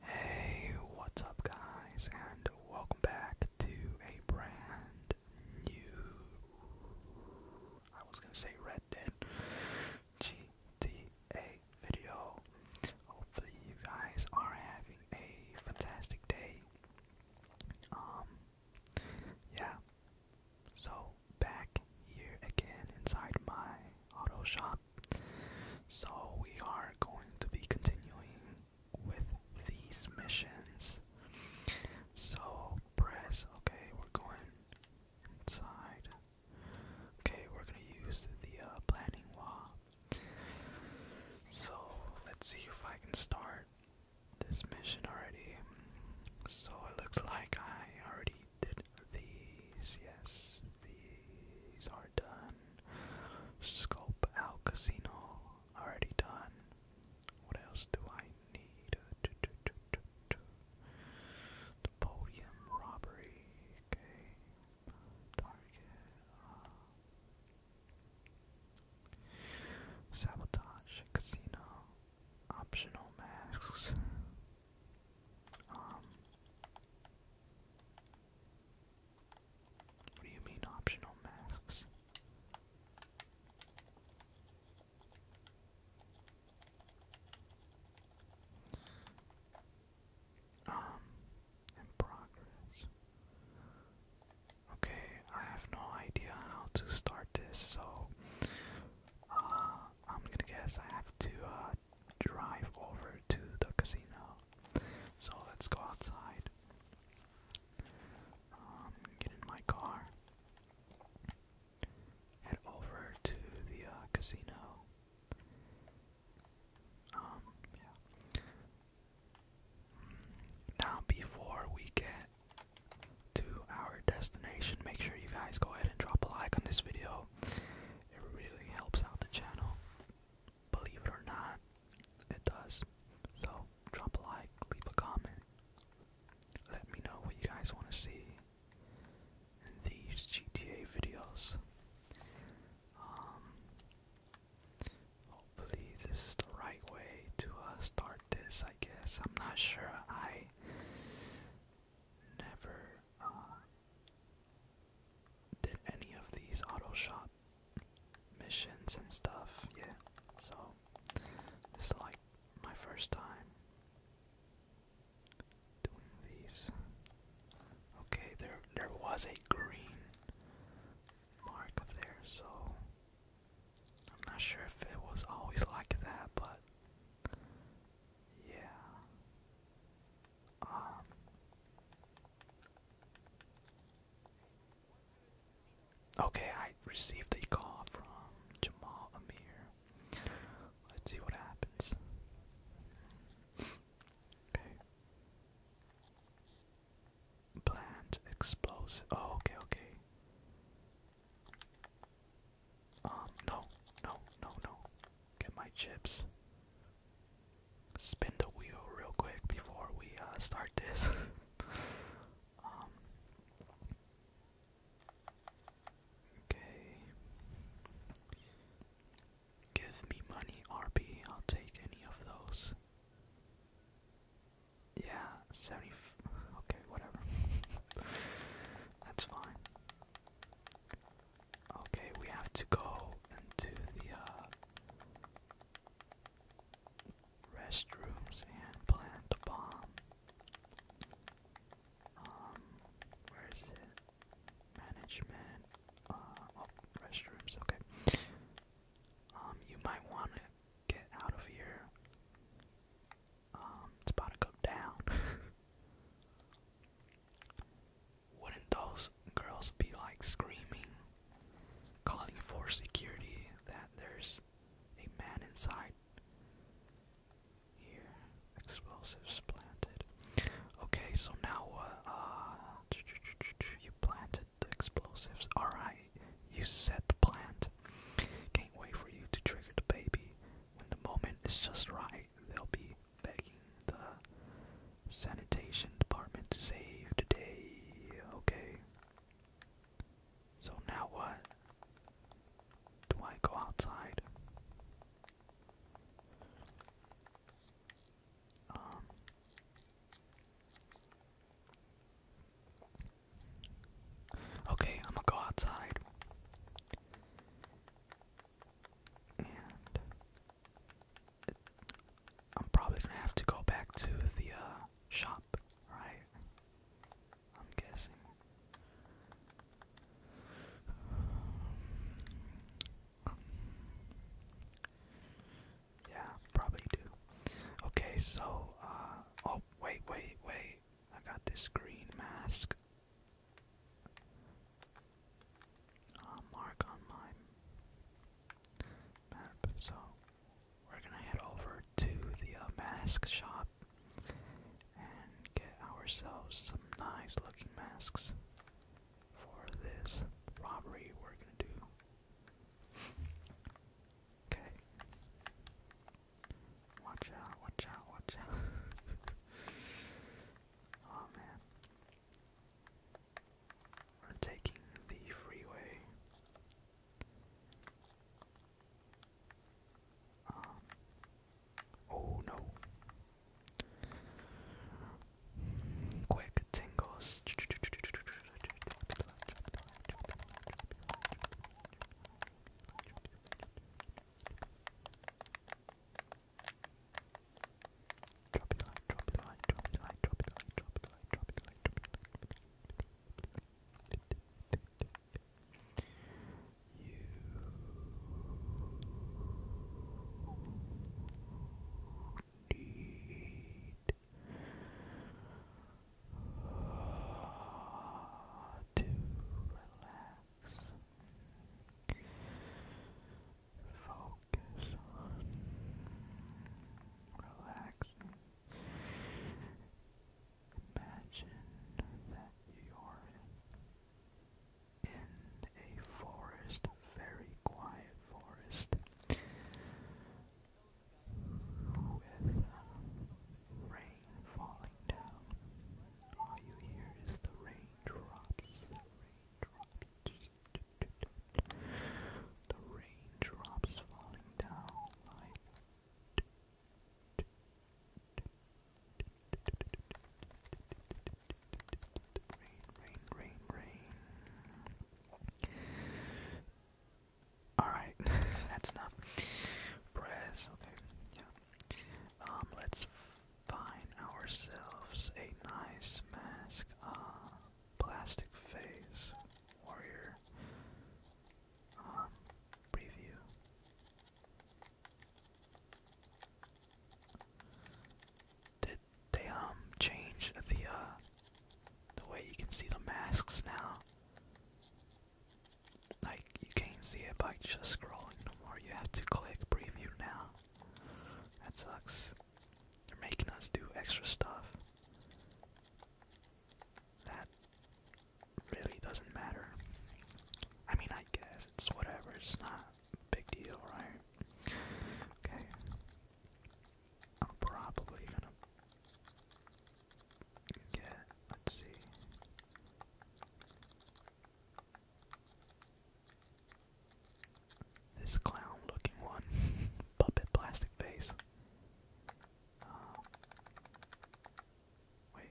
Hey, what's up, guys, and welcome back to a brand new. I was gonna say Red Dead GTA video. Hopefully, you guys are having a fantastic day. Um, yeah. So, back here again inside my auto shop. So we are going to be continuing with these missions. So press, okay, we're going inside. Okay, we're gonna use the uh, planning wall. So let's see if I can start this mission already. So it looks like I already did these, yes, these are done. Scope out casino, already done. What else do I need? The podium robbery, okay. Target. Uh, sabotage, casino, optional masks. Um, what do you mean optional masks? Um, in progress. Okay, I have no idea how to start this, so uh, I'm gonna guess I have to uh, drive over to the casino. So let's go outside. Um, get in my car. Head over to the uh, casino. Um, now, before we get to our destination, make sure you guys go ahead and drop a like on this video. It really helps out the channel. Believe it or not, it does. So drop a like, leave a comment. Let me know what you guys want to see in these GTA videos. Um, hopefully this is the right way to uh, start this. I guess I'm not sure. I never uh, did any of these auto shop missions and stuff. Yeah, so this is like my first time doing these. Okay, there there was a green mark up there, so I'm not sure if it was always like that, but yeah. Um, okay, I received a call from Jamal Amir. Let's see what happens. Okay. Plant explosive. Oh, okay, okay. Um, no, no, no, no get my chips. Spin the wheel real quick before we uh, start this. Um, okay. Give me money, RP. I'll take any of those. Yeah, 70. okay, whatever. That's fine. Okay, we have to go into the uh, restrooms and plant the bomb. Um, where is it? Management. Uh, oh, restrooms. Okay. Um, you might want to get out of here. Um, it's about to go down. Wouldn't those girls be like screaming, calling for security that there's a man inside? Here, explosives planted. Okay, so now what? Uh, uh, you planted explosives. Alright, you set the plant. Can't wait for you to trigger the baby. When the moment is just right, they'll be begging the sanitation department to save the day. Okay. So now what? Do I go outside? Um, okay, I'm gonna go outside and I'm probably gonna have to go back to the uh, shop, right? I'm guessing. Yeah, probably do. Okay, so, uh, oh, wait, wait, wait. I got this green mask. Uh, mark on my map. So we're gonna head over to the uh, mask shop and get ourselves some nice looking masks for this robbery we're gonna do. Okay. Watch out, watch out, watch out. Oh man. We're taking the freeway. Um, oh no. Quick tingles. Drop it like, drop it like, drop it like, drop it like, drop it like, drop it like, drop it like. You need to relax. Focus on Imagine that you're in a forest, very quiet forest, with rain falling down. All you hear is the rain Drops, raindrops, the raindrops falling down like. Rain, rain, rain, rain. Alright, that's enough. Press, okay, yeah. Um, let's find ourselves a nice mask, uh, plastic face, warrior, um, preview. Did they, um, change the, uh, the way you can see the masks now? you can't see it by just scrolling no more. You have to click preview now. That sucks. They're making us do extra stuff. That really doesn't matter. I mean, I guess it's whatever. It's not a big deal, right? Okay. I'm probably gonna get. Let's see. This clown looking one. Puppet plastic face. Uh, wait.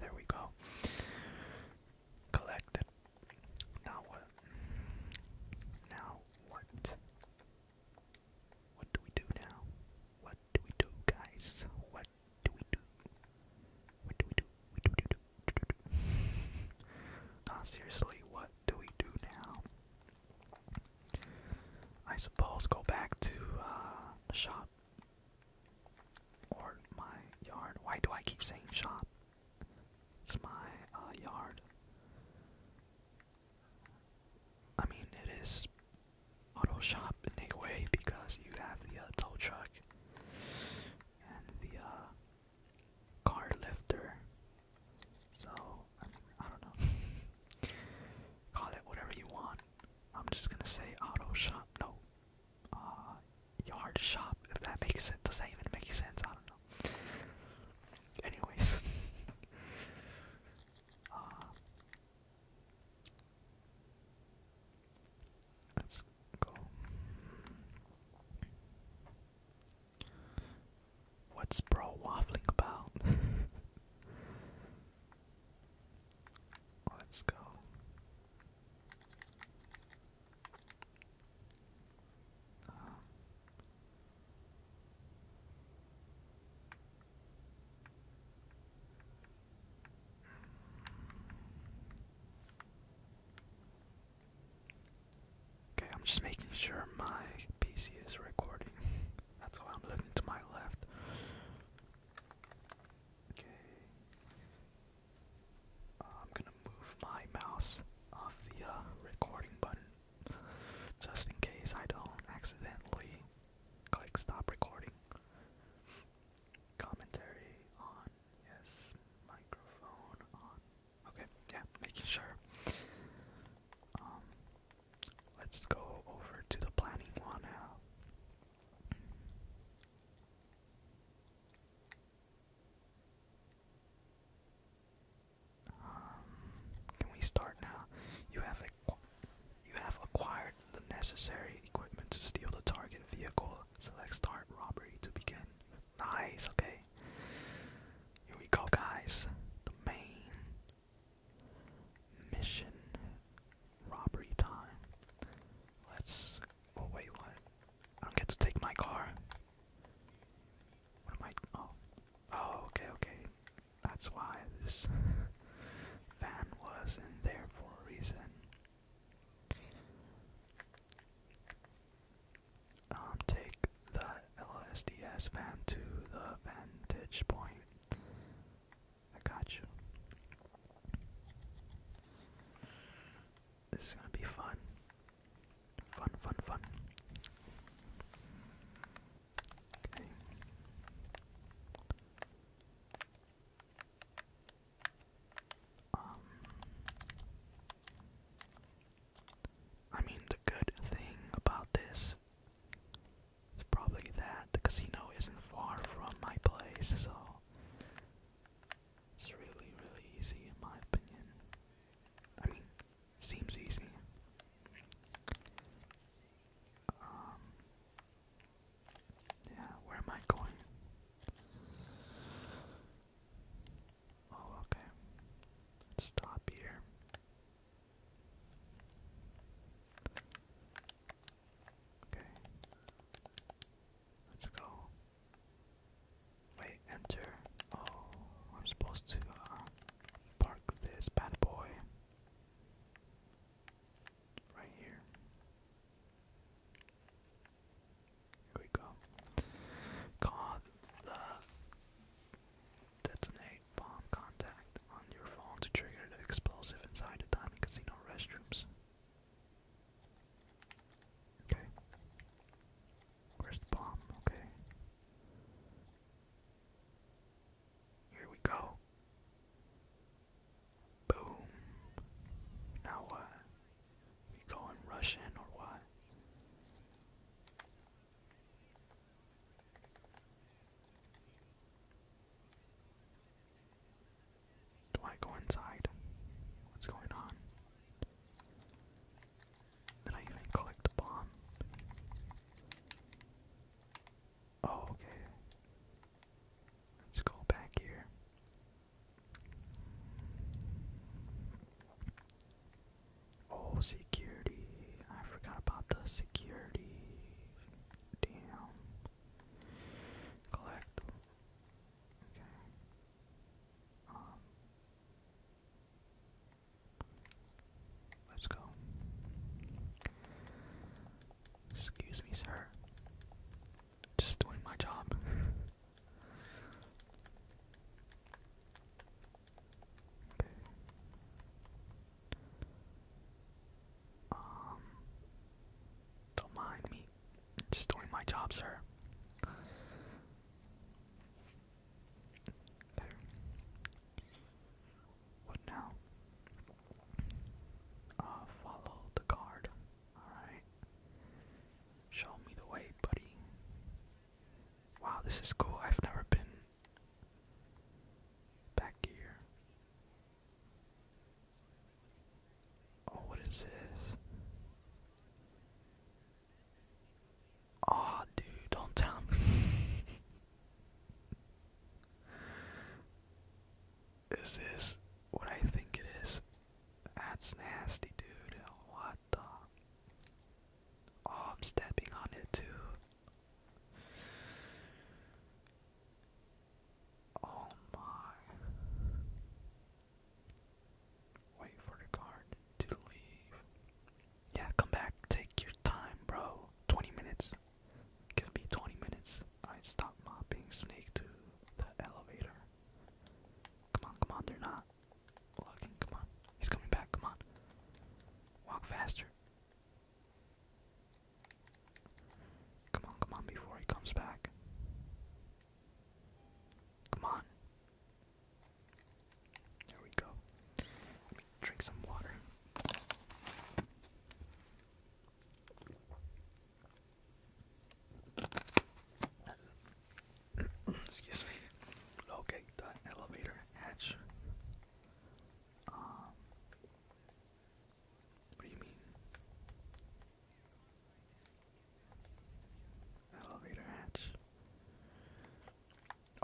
There we go. Collected. Now what? Now what? What do we do now? What do we do, guys? What do we do? What do we do? What do we do? do, ah, seriously, what do we do now? I suppose go back to uh, the shop or my yard. Why do I keep saying shop? It's my uh, yard. I mean, it is auto shop in a way because you have the uh, tow truck and the uh, car lifter. So I, don't know. Call it whatever you want. I'm just gonna say auto shop. No, uh, yard shop. If that makes sense. Does that even make sense? I don't know. Anyways, uh, Let's go. What's bro waffling about? Let's go. Okay, I'm just making sure my PC is recording. That's why I'm looking to my left. Okay. I'm gonna move my mouse off the uh, recording button just in case I don't accidentally click stop recording commentary on. Yes, microphone on. Okay, yeah, making sure. Um, let's go over to the planning one now. Um, can we start now? You have you have acquired the necessary equipment to steal the target vehicle. Select start robbery to begin. Nice, okay. Here we go, guys. The main mission robbery time. Let's. Oh, wait, what? I don't get to take my car. What am I. Oh. Oh, okay, okay. That's why this. Van was in there for a reason. Um, take the LSDS van to the vantage point. I got you. This is gonna be fun. Fun, fun, fun. Okay. Um, I mean, the good thing about this is probably that the casino isn't far from my place, so it's really, really easy in my opinion. I mean, seems easy. Um, yeah, where am I going? Oh, okay. stop here. Okay. Let's go. Wait, enter. Oh, I'm supposed to uh, park this bad boy right here. Here we go. Call the detonate bomb contact on your phone to trigger the explosive inside the diamond casino restrooms. Okay. Where's the bomb? Okay. Here we go. Boom. Now what? We going Russian or what? Do I go inside? What's going on? Did I even collect the bomb? Oh, okay. Let's go back here. Oh, security. I forgot about the security. Damn. Collect. Okay. Um, let's go. Excuse me, sir. Just doing my job. Um, don't mind me. Just doing my job, sir. What now? Uh, follow the card. Alright. Show me the way, buddy. Wow, this is cool. I've never been back here. Oh, what is this? Oh, dude, don't tell me. This is what I think it is. That's nasty, dude. What the? Oh, I'm stepping on it too. Oh my. Wait for the card to leave. Yeah, come back. Take your time, bro. 20 minutes. Give me 20 minutes. I stop mopping Snake to the elevator. Come on, come on, they're not looking. Come on. He's coming back, come on. Walk faster. Come on, come on, before he comes back. Come on. There we go. Let me drink some water. Excuse me. Locate the elevator hatch. Um, what do you mean? Elevator hatch.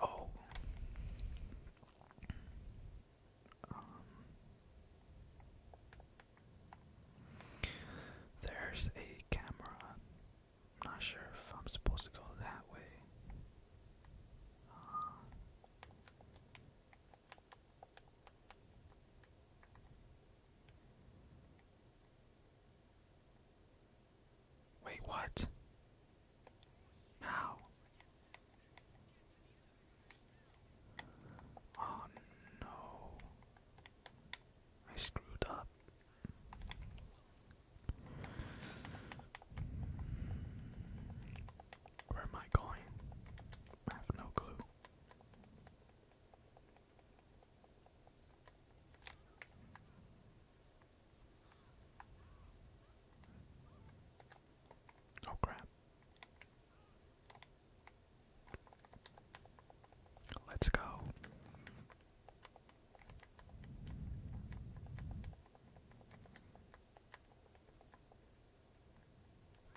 Oh. Um, there's a camera. I'm not sure if I'm supposed to go that way. Uh, wait, what? How? Oh no. I screwed up. Where am I going? I have no clue. Oh crap. Let's go.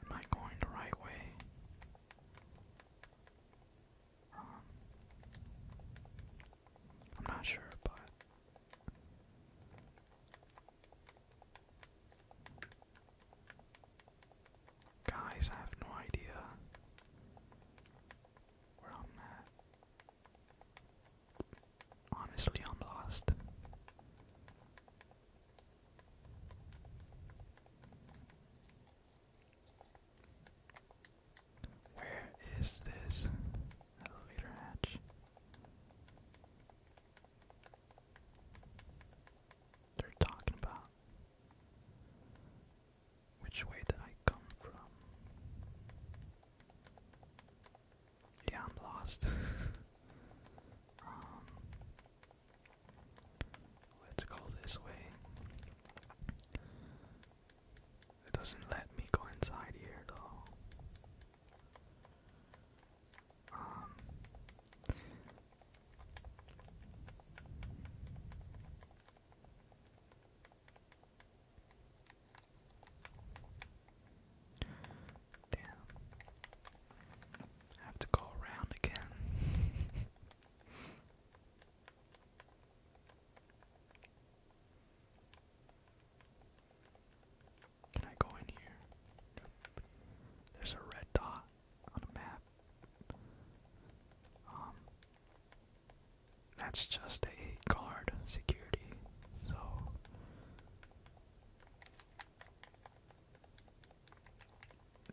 Am I going the right way? Um, I'm not sure, but Guys, I have no idea where I'm at. Honestly, I'm lost. Where is this? Elevator hatch. They're talking about which way did I come from? Yeah, I'm lost. Um, let's go this way. It doesn't let me go inside here though. Um, damn. I have to go around again. Can I go in here? There's a red dot on a map. Um, that's just a guard security. So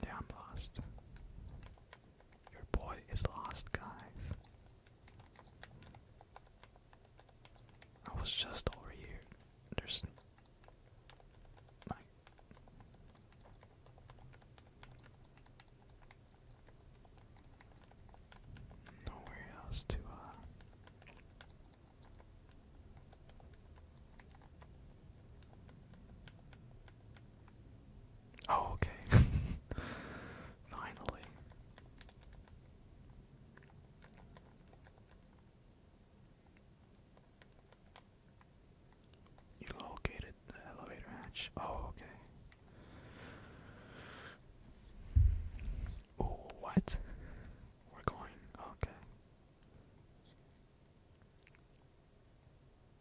yeah, I'm lost. Your boy is lost, guys. I was just over here. There's. Nowhere else to, uh, Oh, okay. Finally. You located the elevator hatch. Oh, okay. Oh, what? We're going. Okay.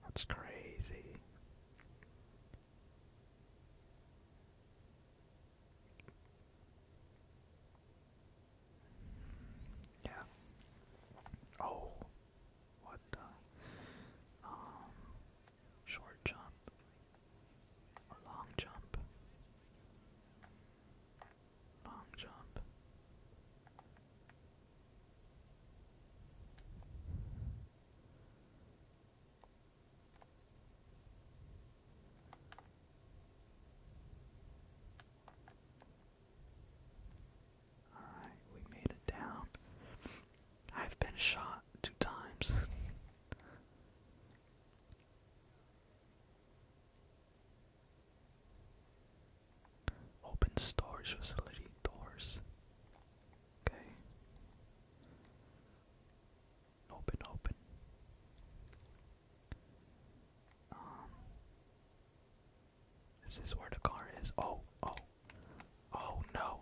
That's crazy. Yeah. Oh, what the? Um, short jump, a long jump, long jump. Alright, we made it down. I've been shot two times. Open storage facility doors. Okay open, open. Um, is where the car is? Oh, oh, oh no!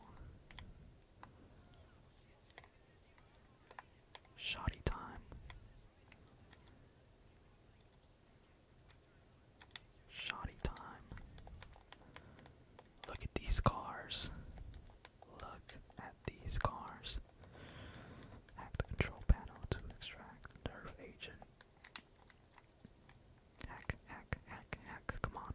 Shoddy time. Shoddy time. Look at these cars. Look at these cars. Hack the control panel to extract nerve agent. Hack, hack, hack, hack, come on.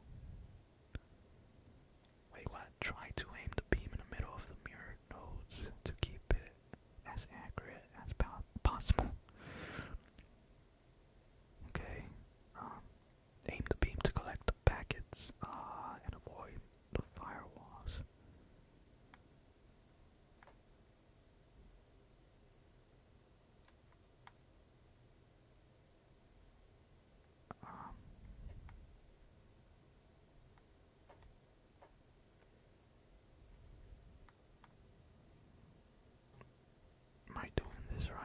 Wait, what? Try to aim the beam in the middle of the mirror nodes to keep it as accurate as possible. Okay, um, aim the beam to collect the packets, uh, and avoid the firewalls. Um, am I doing this right?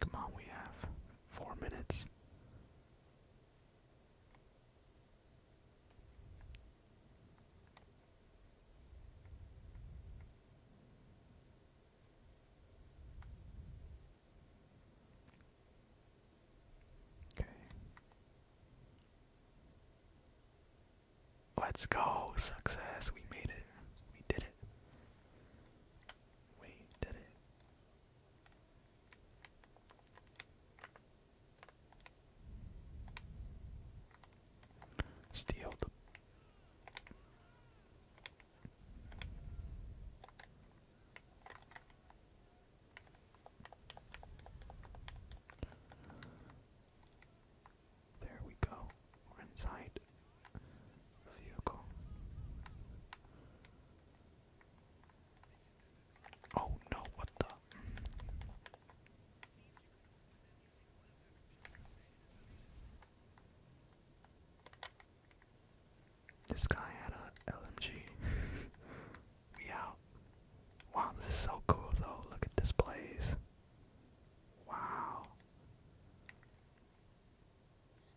Come on, we have four minutes. Okay. Let's go. Success. We made it. We did it. Steal the There we go. inside. Oh no, what the? This guy had a LMG. we out. Wow, this is so cool though. Look at this place. Wow.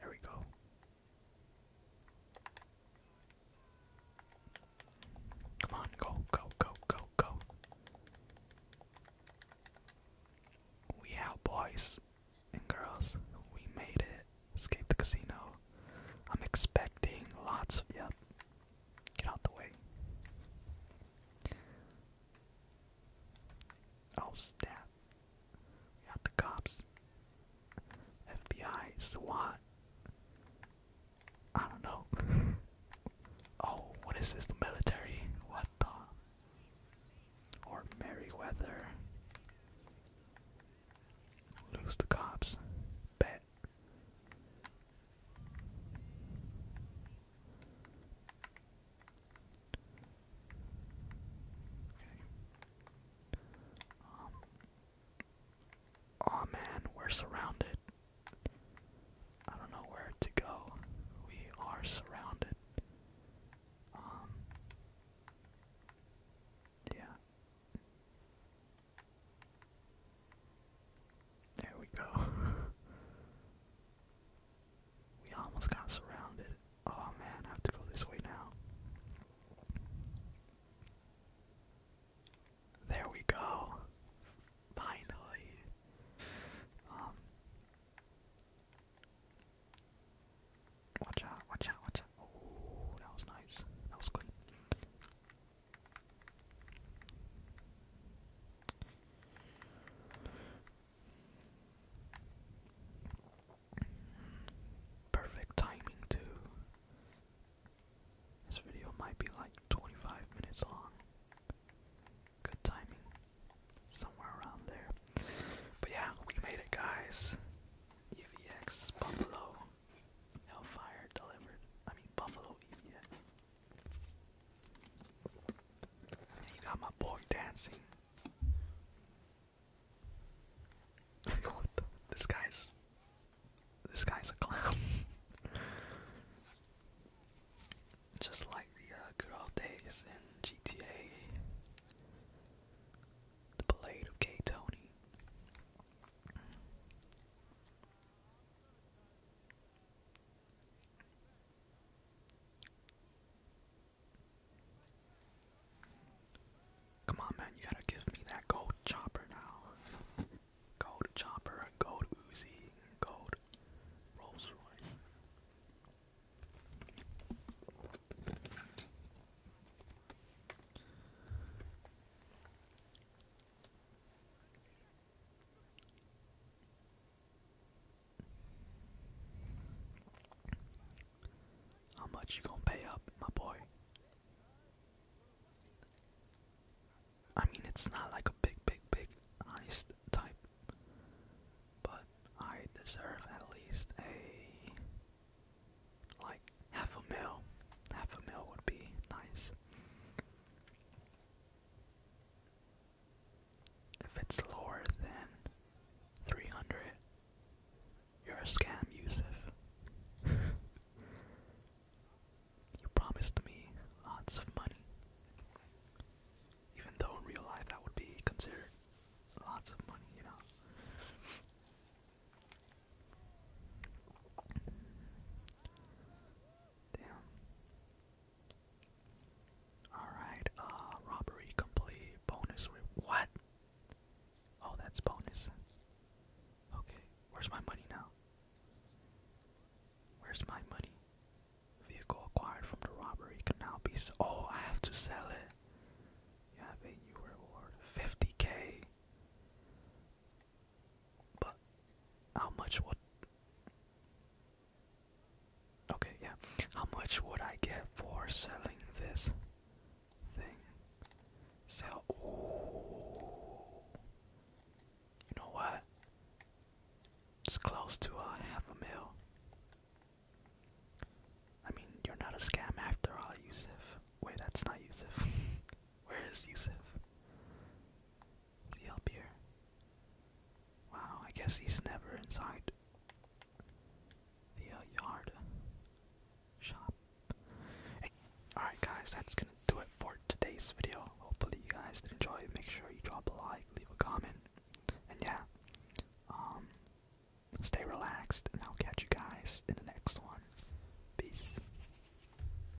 There we go. Come on, go, go, go, go, go. We out, boys and girls. We made it. Escape the casino. I'm expecting lots of, yep, Get out the way. Oh, snap. We the cops. FBI, SWAT. I don't know. oh, what is this? The military? What the? Or Merryweather. Lose the cops. Bet. Um, oh man, we're surrounded. I don't know where to go. We are surrounded. Um. Yeah. There we go. we almost got surrounded. Oh man, I have to go this way now. There we go. Finally. Um Watch out, watch out, watch out. Oh, that was nice. That was good. Perfect timing, too. This video might be like 25 minutes long. Good timing. Somewhere around there. But yeah, we made it, guys. EVX Buffalo Hellfire delivered. I mean, Buffalo EVX. You got my boy dancing. this guy's this guy's a clown. Just like the uh, good old days in GTA, the blade of K Tony. Come on, man, you gotta give me that gold chopper now. Gold chopper, gold Uzi, gold Rolls Royce. How much you gonna pay up, my boy? I mean, it's not like a big, big, big heist type, but I deserve at least a like half a mil. Half a mil would be nice. If it's lower than 300, you're a scam, Yusuf. you promised me lots of money. Even though in real life that would be considered lots of money, you know? Damn. Alright, uh, robbery complete. Bonus. What? Oh, that's bonus. Okay, where's my money now? Where's my money? Vehicle acquired from the robbery can now be Oh, I have to sell it. You have a new reward. 50k. But how much would Okay, yeah. How much would I get for selling this thing? Sell ooh. You know what? It's close to a half a mil. I mean, you're not a scam after all, Yusuf. Wait, that's not Yusuf. Where is Yusuf? Is he Wow, I guess he's never inside the uh, yard uh, shop. Alright, guys, that's gonna do it for today's video. Hopefully, you guys did enjoy. Make sure you drop a like, leave a comment, and yeah, um, stay relaxed, and I'll catch you guys in the next one. Peace.